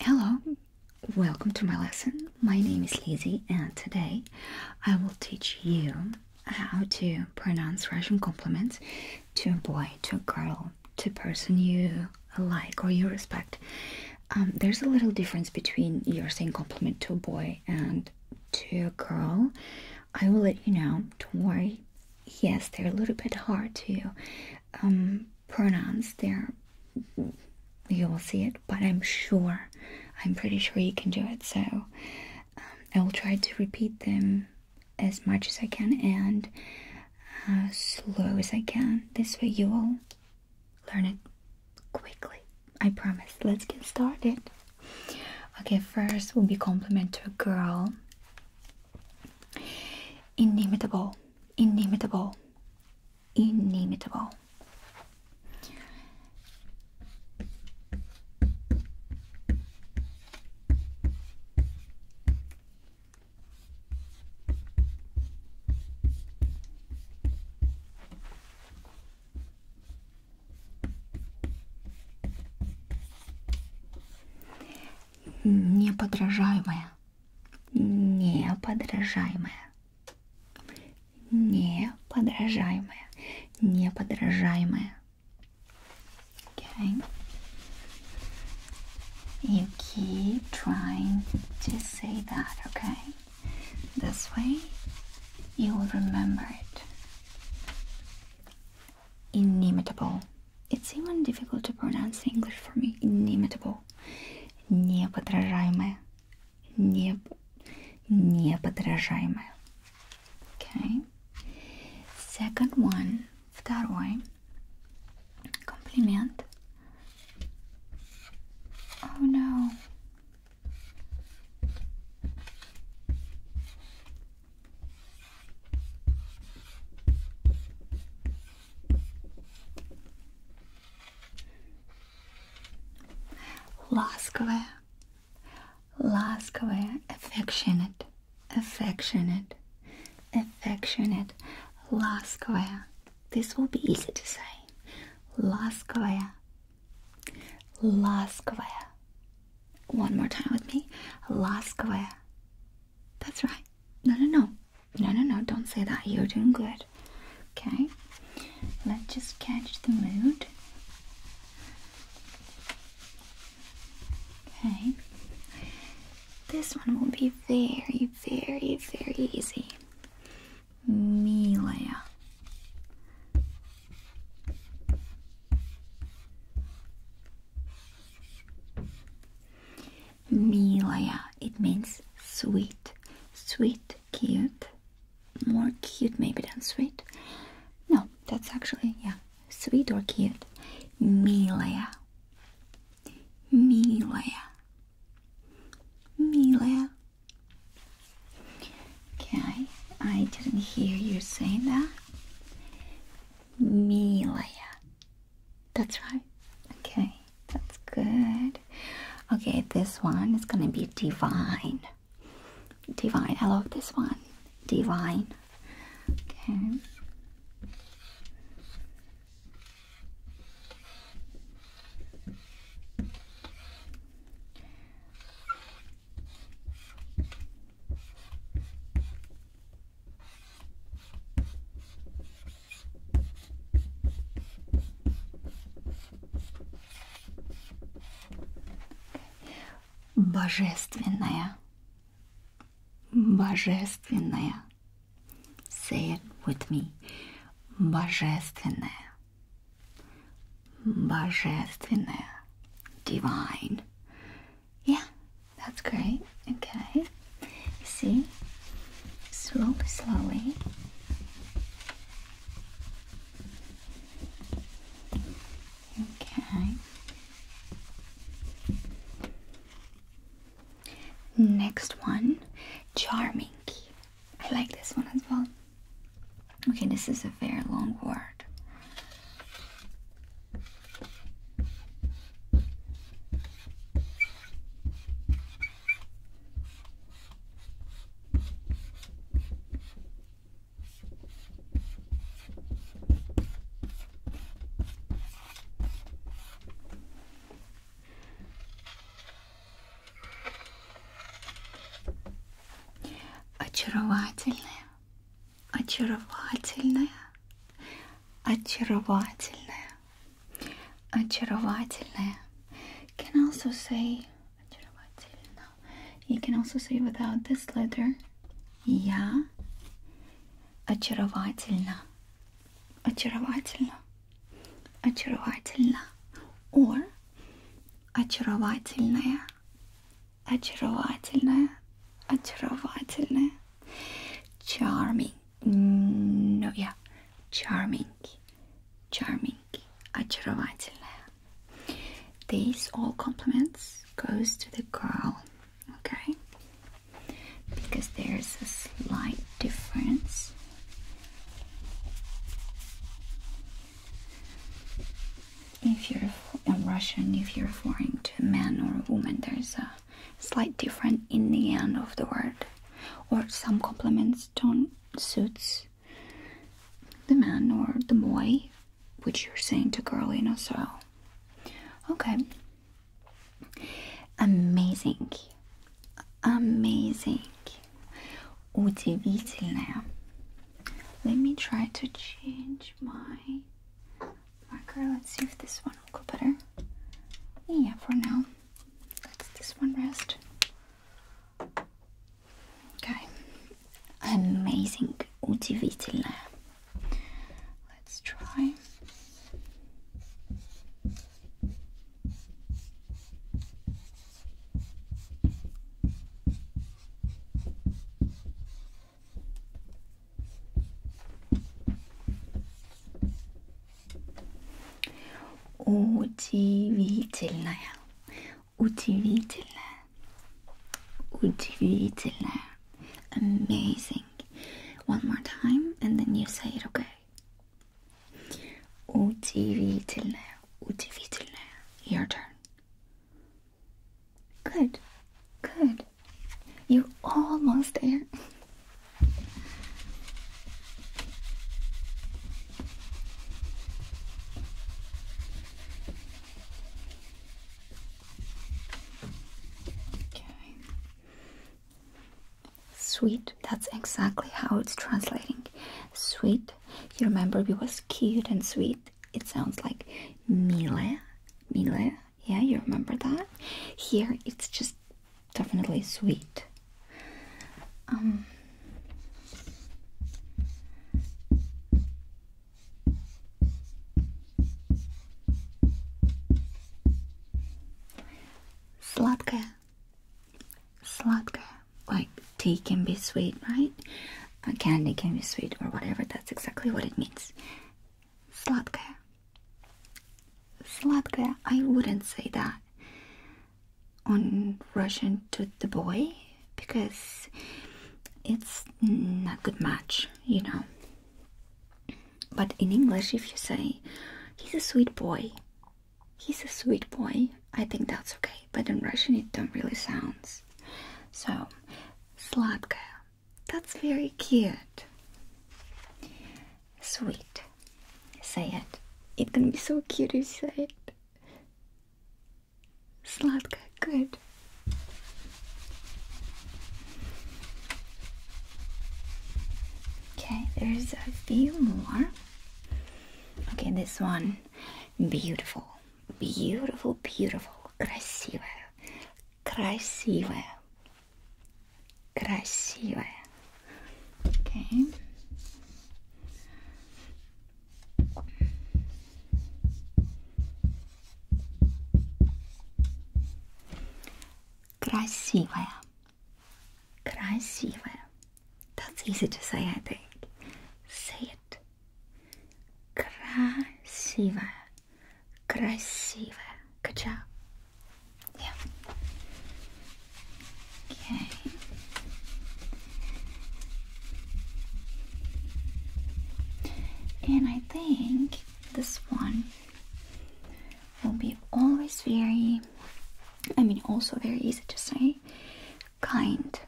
Hello, welcome to my lesson. My name is Lizzie, and today I will teach you how to pronounce Russian compliments to a boy, to a girl, to a person you like or you respect. Um, there's a little difference between your saying compliment to a boy and to a girl. I will let you know. Don't worry. Yes, they're a little bit hard to um, pronounce. They're you will see it, but I'm sure, I'm pretty sure you can do it. So um, I will try to repeat them as much as I can and slow as I can. This way you will learn it quickly. I promise. Let's get started. Okay, first will be compliment to a girl. Indomitable, indomitable, inimitable. Неподражаемая. Неподражаемая. Неподражаемая. Неподражаемая. Okay. You keep trying to say that, okay? This way you will remember it inimitable. It's even difficult to pronounce in English for me. Inimitable. Неподражаемая. Не... Неподражаемая. Okay. Second one. Второй. Compliment. Oh no. Ласковая, ласковая, affectionate, affectionate, affectionate, ласковая. This will be easy to say. Ласковая, ласковая, one more time with me. Laskawaya. That's right. No, no, no. No, no, no. Don't say that. You're doing good. Okay. Let's just catch the mood. Okay. This one will be very, very, very easy. Milaya. Milaya, it means sweet. Sweet, cute. More cute maybe than sweet. No, that's actually, yeah, sweet or cute. Milaya. Milaya. Milaya. Okay, I, didn't hear you saying that. Milaya. That's right. Okay, that's good. Okay, this one is gonna be divine. Divine. I love this one. Divine. Okay. Божественная. Божественная. Say it with me. Божественная. in there, Divine. Yeah, that's great. Okay. See? Slowly, slowly. Okay. Next one, charming. I like this one as well. Okay, this is a very long word очаровательная, очаровательная, очаровательная, очаровательная. Can also say очаровательно. You can also say without this letter. Я очаровательно, очаровательно, очаровательно. Or очаровательная очаровательная, очаровательная, charming, no, yeah, charming, charming, очаровательная. These all compliments goes to the girl, okay? Because there's a slight difference if you're in Russian, if you're referring to a man or a woman, there's a slight difference in the end of the word, or some compliments don't suits the man or the boy, which you're saying to girl, you know. So, okay, amazing, amazing. Удивительная. Let me try to change my marker. Let's see if this one will go better. Yeah, for now, let this one rest. Okay. Amazing. Удивительная. Let's try. Удивительная, удивительная, удивительная, amazing. One more time, and then you say it, okay? Удивительная. Удивительное. Your turn. Good. Good. You're almost there. Okay. Sweet. That's exactly how it's translating. Sweet you remember we was cute and sweet? It sounds like mile, mile. Yeah, you remember that? Here it's just definitely sweet. Um, Сладкая. Sladka. Like tea can be sweet, right? A uh, candy can be sweet or whatever. That's exactly what it means. Sladka. Sladka. I wouldn't say that on Russian to the boy because it's not good match, you know. But in English, if you say he's a sweet boy, He's a sweet boy. I think that's okay, but in Russian it don't really sounds. So, сладкая. That's very cute. Sweet. Say it. It can be so cute if you say it. Сладкая. Good. Okay, there's a few more. Okay, this one М -м, beautiful, beautiful, beautiful. Красивая, красивая, красивая. Okay. Красивая, Красивая. That's easy to say, I think. Say it. Красивая. Красивая. Good job. Yeah. Okay. And I think this one will be always very I mean, also very easy to say. Kind,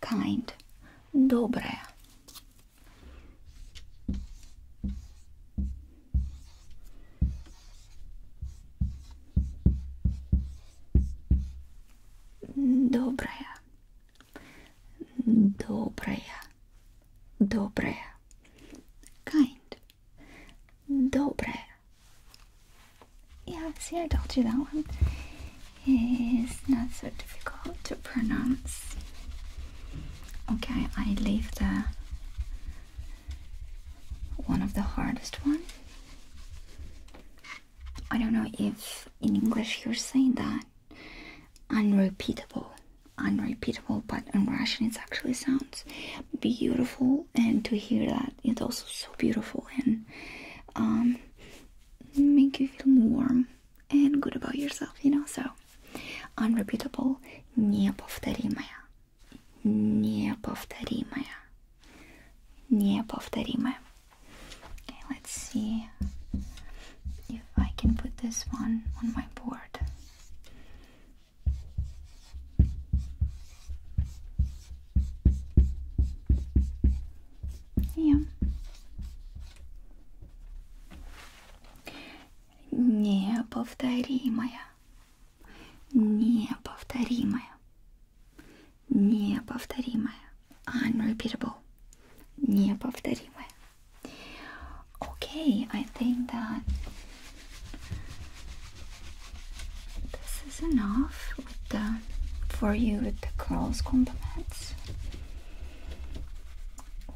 kind, добрая. Добрая, добрая, добрая, kind, добрая, yeah, see, I told you that one is not so difficult to pronounce. Okay, I leave the one of the hardest one. I don't know if in English you're saying that unrepeatable, unrepeatable, but in Russian it actually sounds beautiful, and to hear that it's also so beautiful and um, make you feel warm and good about yourself, you know. So, unrepeatable, неповторимая, неповторимая, неповторимая. Okay, let's see if I can put this one on my board. Yeah. Неповторимая. Неповторимая. Неповторимая. Unrepeatable. Неповторимая. Okay, I think that this is enough with the, for you with the girls' compliments.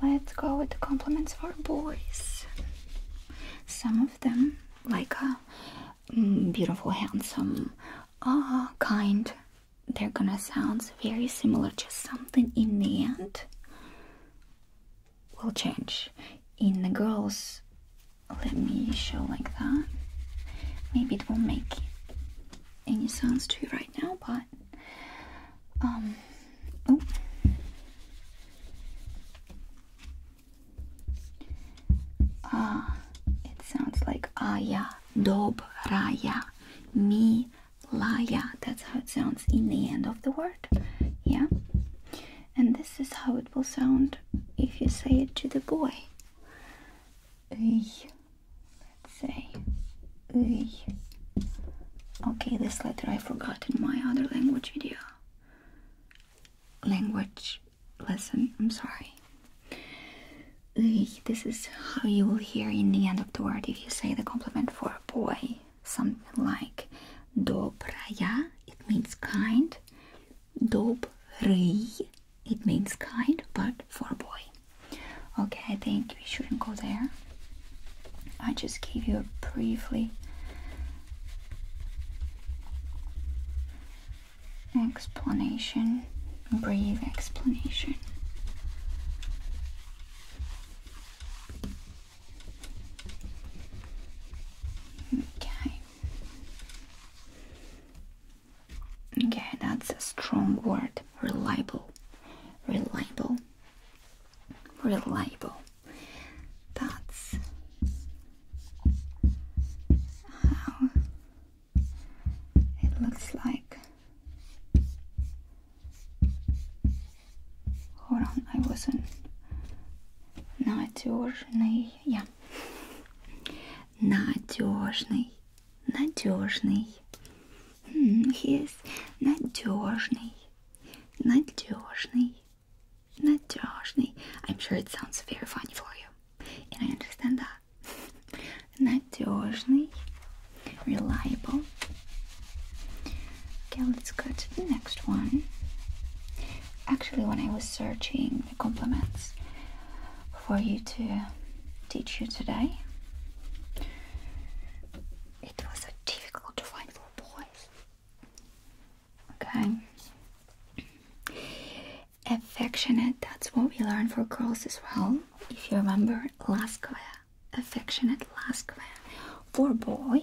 Let's go with the compliments for boys. Some of them, like a mm, beautiful, handsome, ah, kind, they're gonna sound very similar, just something in the end will change. In the girls, let me show like that. Maybe it won't make any sounds to you right now, but um, oh. Ah, it sounds like Aya, Dobraya, Milaya. That's how it sounds in the end of the word. Yeah and this is how it will sound if you say it to the boy. Let's say Okay, this letter I forgot in my other language video. Language lesson, I'm sorry. This is how you will hear in the end of the word if you say the compliment for a boy. Something like dobraya, it means kind. Dobry. It means kind, but for boy. Okay, I think we shouldn't go there. I just gave you a briefly explanation, brief explanation. Okay. Okay, that's a strong word. Reliable. Reliable. Reliable. That's how it looks like. Hold on, I wasn't надежный, я. Надежный, надежный. Yes, надежный, надежный, надежный. I'm sure it sounds very funny for you, and I understand that. Надежный, reliable. Okay, let's go to the next one actually when I was searching the compliments for you to teach you today, it was so difficult to find for boys. Okay. Affectionate, that's what we learn for girls as well. If you remember, Laskvaya. Affectionate Laskvaya. For boy,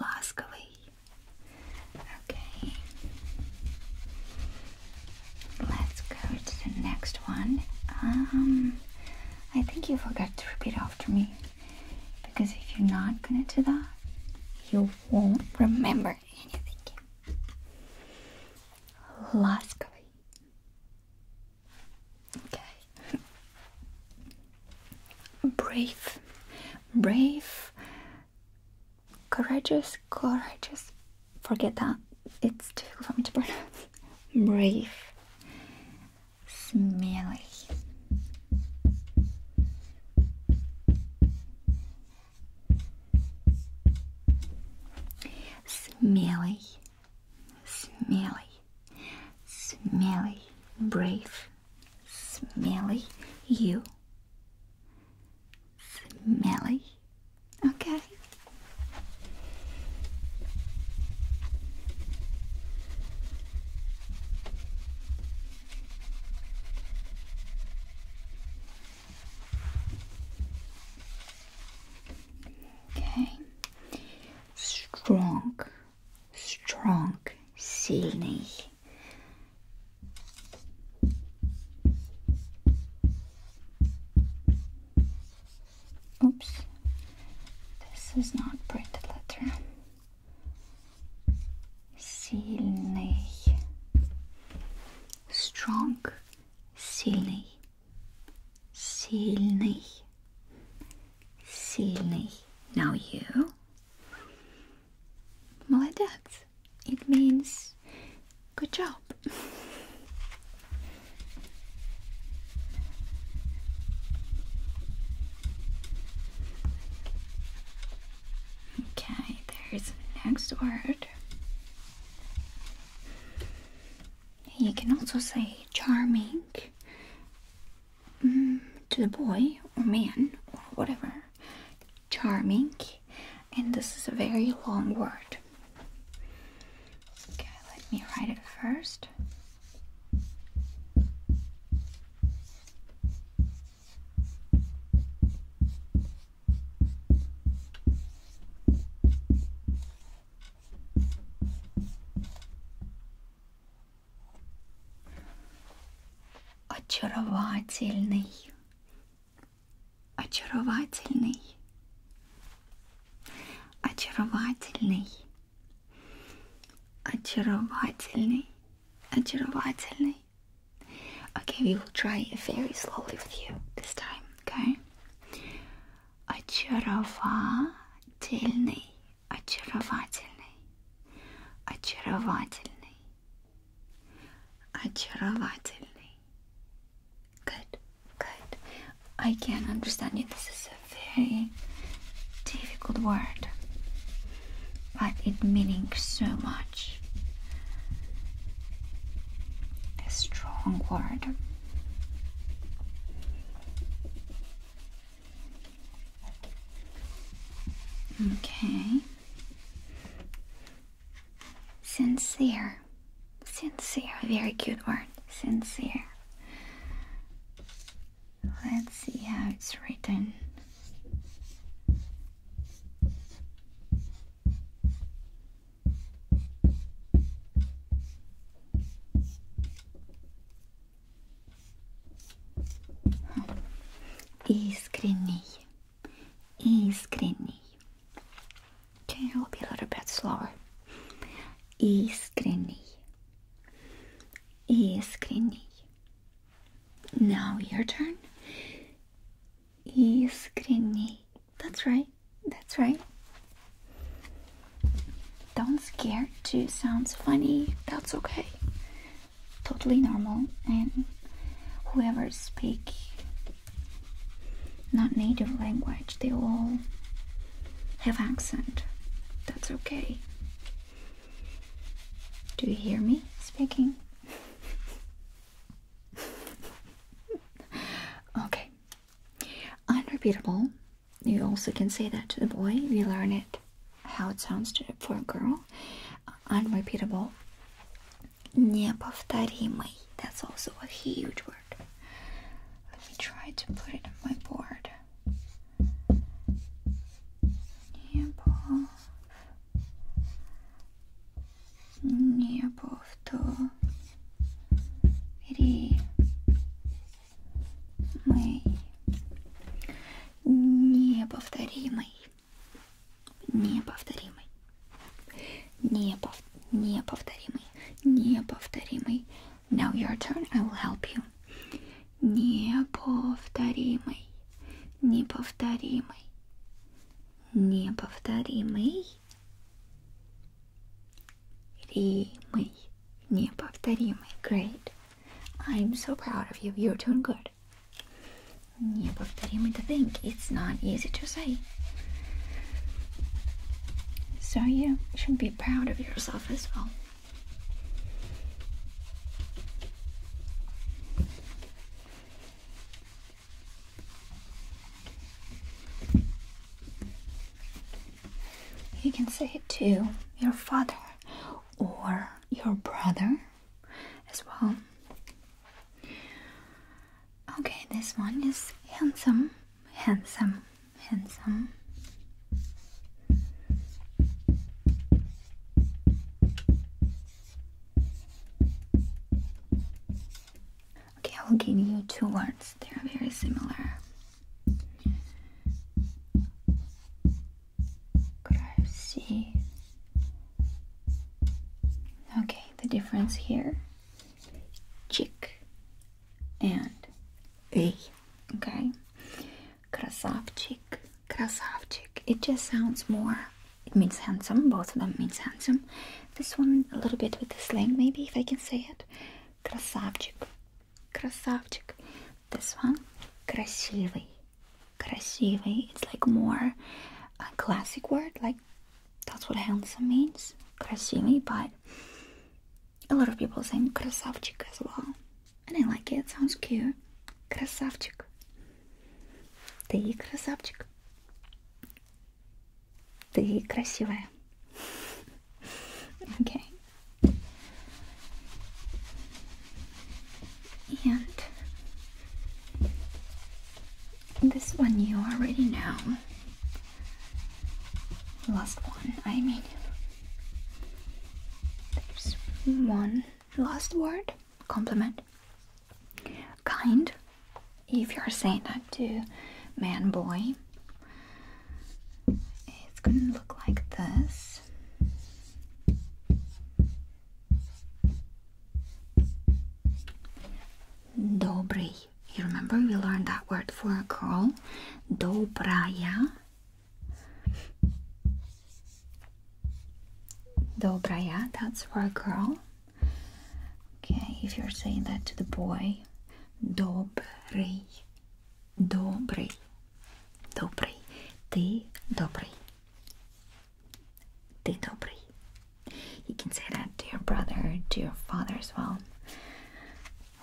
Lastly, okay, let's go to the next one. Um, I think you forgot to repeat after me because if you're not gonna do that, you won't remember anything. Laskavy. Okay. Brave. Brave courageous, courageous. Forget that. It's difficult for me to pronounce. Brave, smelly. Smelly, smelly, smelly, brave, smelly, you Smelly. Okay. Okay. Strong. Strong. Silly. Oops, this is not printed letter. Сильный. Strong. Сильный. Сильный. Сильный. Now you. Молодец. It means good job. okay, there's next word. You can also say charming to the boy or man or whatever. Charming, and this is a very long word. Okay, let me write it first очаровательный, очаровательный, очаровательный, очаровательный, очаровательный. Okay, we will try it very slowly with you this time, okay? Очаровательный очаровательный, очаровательный, очаровательный. Good, good. I can not understand you. This is a very difficult word, but it means so much. A strong word. Okay. Sincere. Sincere. Very cute word. Sincere. Let's see how it's written. Искренний. Искренний. Okay, i will be a little bit slower. Искренний. Искренний. Now your turn. Искренний. That's right. That's right. Don't scare. Too sounds funny. That's okay totally normal and whoever speak not native language they all have accent that's okay do you hear me speaking okay unrepeatable you also can say that to the boy we learn it how it sounds to, for a girl. Uh, unrepeatable. Неповторимый. That's also a huge word. Let me try to put it on my board. Непов... Неповторимый. Мэй. Неповторимый. Неповторимый. Непов неповторимый. Неповторимый. Now your turn, I will help you. Неповторимый. Неповторимый. Неповторимый. Римый. Неповторимый. Great. I'm so proud of you. You're doing good. Yeah, but what do to think? It's not easy to say. So you should be proud of yourself as well. You can say it to your father or your brother as well. Okay, this one is handsome, handsome, handsome. Okay, I will give you two words, they are very similar. Could Okay, the difference here chick and a. Okay, красавчик, красавчик. It just sounds more. It means handsome. Both of them means handsome. This one a little bit with the slang, maybe if I can say it. Красавчик, красавчик. This one, красивый. Красивый. It's like more a classic word. Like that's what handsome means. Красивый, but a lot of people saying красавчик as well, and I like it. sounds cute. Красавчик. Ты красавчик. Ты красивая okay. And this one you already know. Last one, I mean. There's one last word compliment. Kind, if you're saying that to man, boy, it's going to look like this. Dobry. You remember we learned that word for a girl? Dobraya. Dobraya, that's for a girl. Okay, if you're saying that to the boy, Dobry. Добрый. Добрый. Ты добрый. Ты добрый. You can say that to your brother, to your father as well.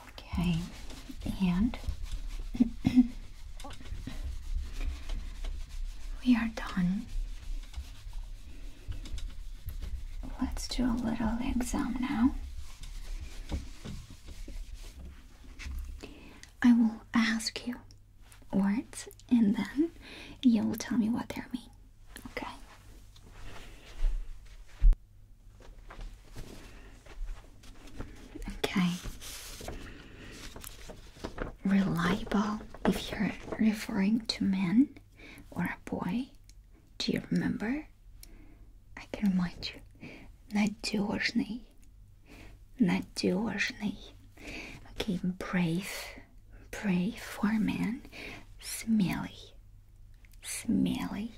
Okay. And we are done. Let's do a little exam now. I will ask you words and then you will tell me what they mean. Okay. Okay. Reliable if you're referring to men or a boy. Do you remember? I can remind you. Надежный. Надежный. Okay, brave. Brave for a man. Smelly. Smelly.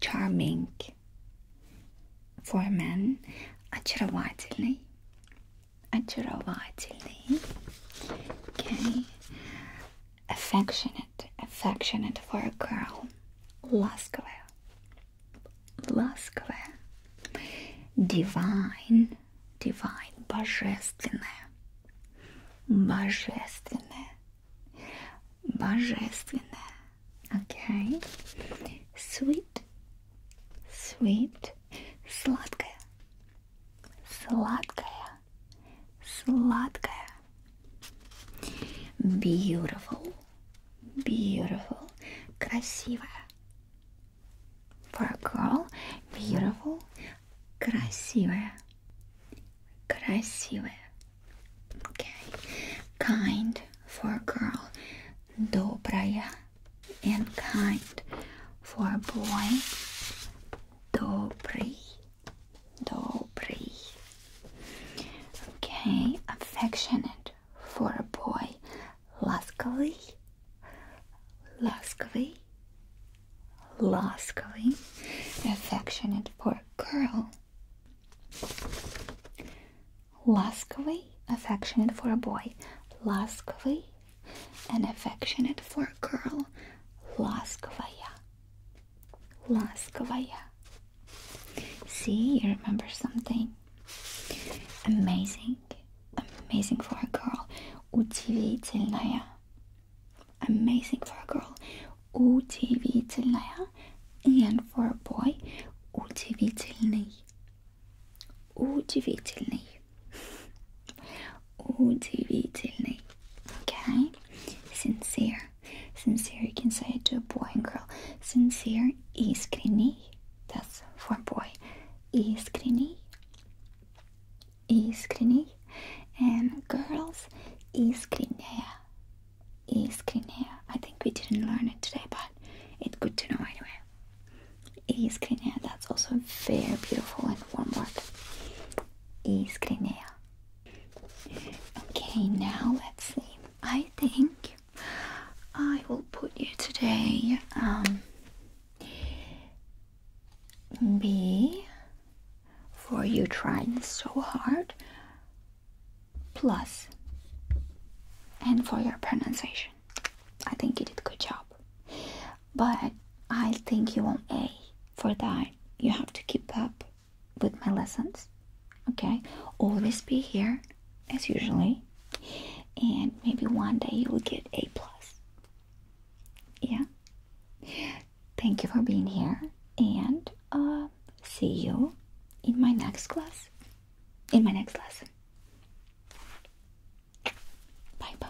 Charming. For a man. Очаровательный. Очаровательный. Okay affectionate, affectionate for a girl. Laskava. Laskava. Divine. Divine. Божественная. Божественная. Божественная. Okay. Sweet. Sweet. Сладкая. Сладкая сладкая. Beautiful, beautiful, красивая. For a girl, beautiful, красивая, красивая. Okay. Kind for a girl, добрая. And kind for a boy, добрый. Dobry. Okay, affectionate for a boy. Ласковый. Ласковый. Ласковый. Affectionate for a girl. Ласковый. Affectionate for a boy. Ласковый. And affectionate for a girl. Ласковая. Las kovaya. See, you remember something? Amazing. Amazing for a girl. Удивительная. Amazing for a girl. Удивительная. And for a boy, удивительный. Удивительный. Удивительный. Okay? Sincere. Sincere, you can say it to a boy and girl. Sincere, iskrini. That's for boy. Iskrini. Iskrini. And girls, iskrinea. Iskrinea. I think we didn't learn it today, but it's good to know anyway. Iskrinea. That's also very beautiful and warm word. Iskrinea. Okay, now let's see. I think I will put you today. Um, B for you trying so hard, plus, and for your pronunciation. I think you did a good job. But I think you want A. For that, you have to keep up with my lessons. Okay, always be here as usually, and maybe one day you will get A plus. Yeah. Thank you for being here, and uh, see you in my next class. In my next lesson. Bye bye.